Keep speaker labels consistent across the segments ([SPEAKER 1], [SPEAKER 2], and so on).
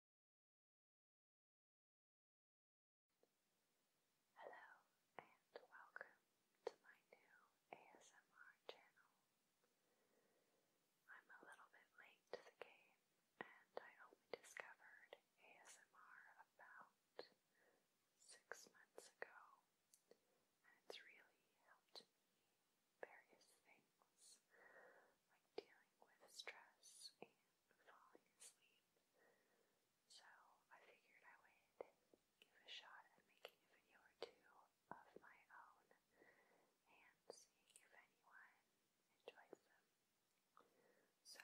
[SPEAKER 1] Hello and welcome to my new ASMR channel. I'm a little bit late to the game and I only discovered ASMR about six months ago and it's really helped me various things dealing with stress and falling asleep. So I figured I would give a shot at making a video or two of my own and seeing if anyone enjoys them. So,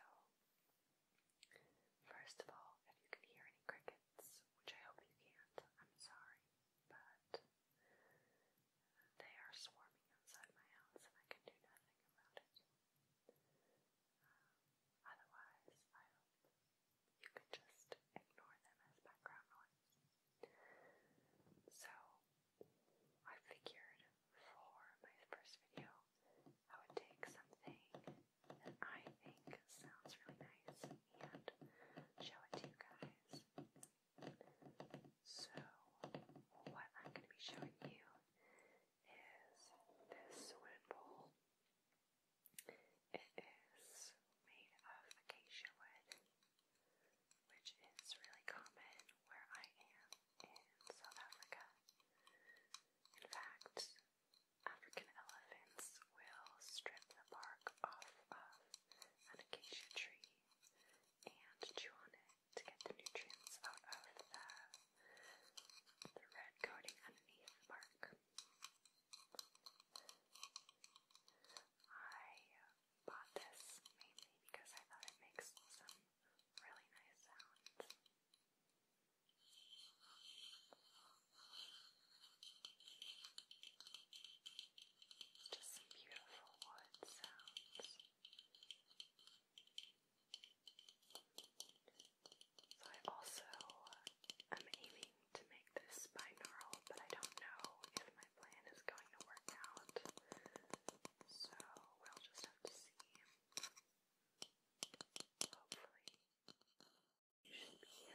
[SPEAKER 1] first of all, if you can hear any crickets, which I hope you can't, I'm sorry, but they are swarming outside my house, and I can do nothing about it. Um, otherwise, you could just ignore them as background noise. So, I figured for my first video, I would take something that I think sounds really nice and show it to you guys. So, what I'm going to be showing you is this swimming pool. It is made of acacia wood, which is really common where I am in South Africa. In fact, African elephants will strip the bark off of an acacia tree and chew on it to get the nutrients out of the, the red coating underneath bark. I bought this mainly because I thought it makes some really nice sounds. Just some beautiful wood sounds. So I also uh, am aiming to make this binaural, but I don't know if my plan is going to work out. So we'll just have to see. Hopefully, you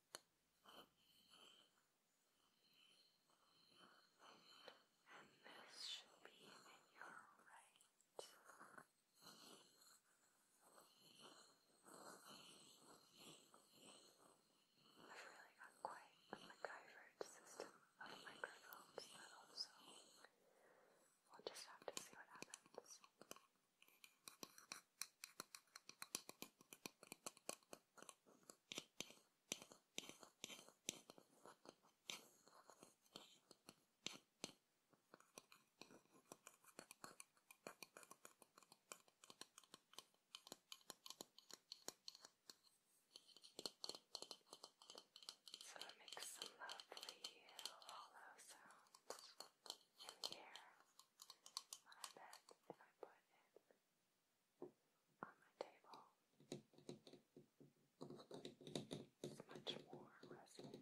[SPEAKER 1] And this should be in your right. I've really got quite a MacGyvered system of microphones that also we'll just have to see what happens. So it makes some lovely hollow sounds in the air. I bet if I put it on my table. It's much more resonant.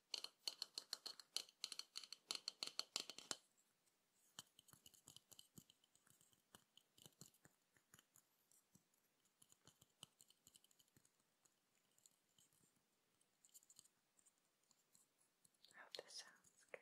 [SPEAKER 1] I hope this sounds good.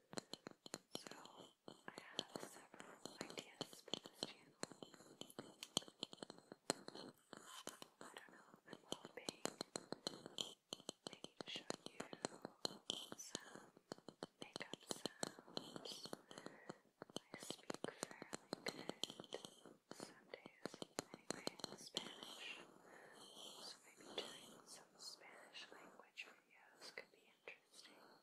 [SPEAKER 1] So, I have several ideas for this channel. I don't know, i maybe to you some makeup sounds. I speak fairly good some days, anyway, Spanish. So, maybe doing some Spanish language videos could be interesting.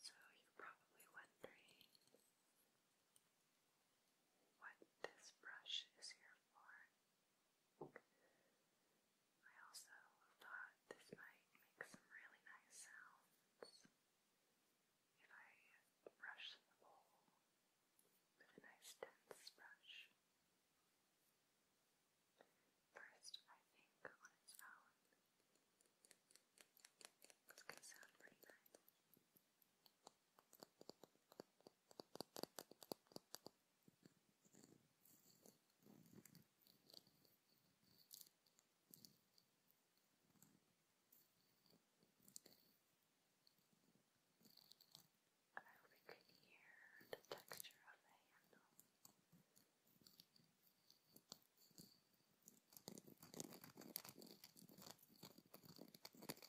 [SPEAKER 1] So, you're probably wondering what this brush is here for. I also thought this might make some really nice sounds if I brush the bowl with a nice dense brush. First, I think on its own, it's going to sound pretty nice. I hope you can hear the texture of the handle. Thank you.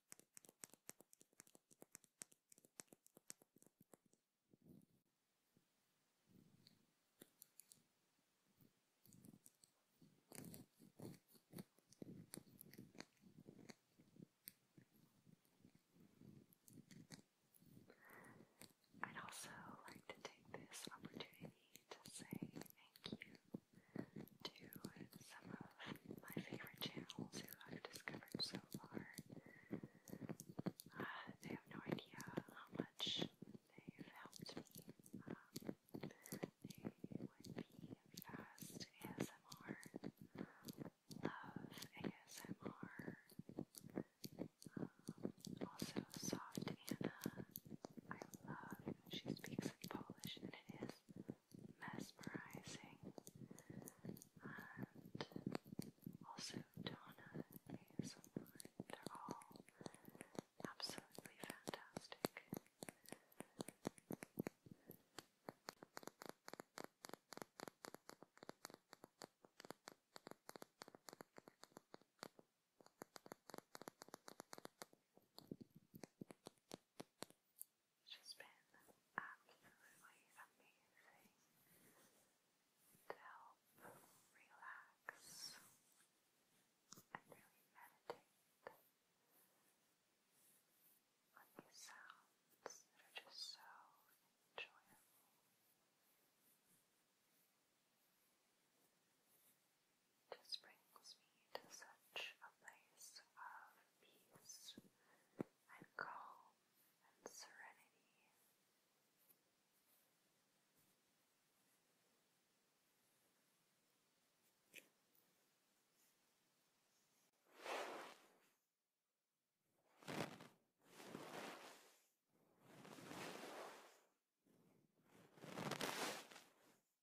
[SPEAKER 1] I'd also like to take this opportunity to say thank you to some of my favorite channels who I've discovered so far. Uh, they have no idea how much they've helped me. Um, they would be Fast ASMR, Love ASMR, um, also Soft Anna. I love, she speaks Polish and it is mesmerizing, and also Donna ASMR. They're all absolutely fantastic. It's just been absolutely amazing to help relax and really meditate on these sounds that are just so enjoyable just brings me to such a place of peace and calm and serenity.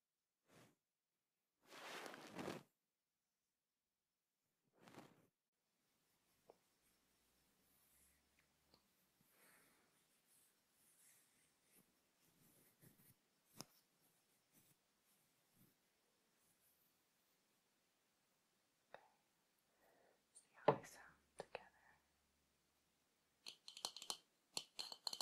[SPEAKER 1] See how they sound together. Okay.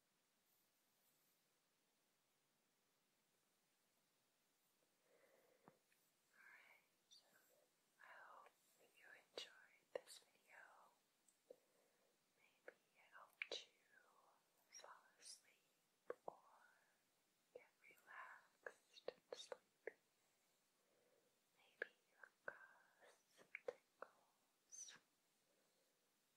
[SPEAKER 1] Alright, so I hope you enjoyed this video. Maybe it helped you fall asleep or get relaxed and sleepy. Maybe you got some tingles.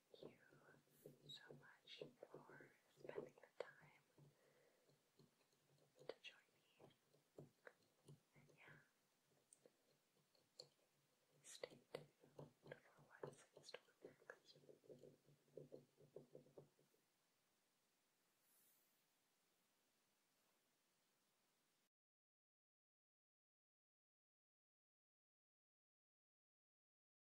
[SPEAKER 1] you so much for spending the time to join me. yeah, stay tuned for what's in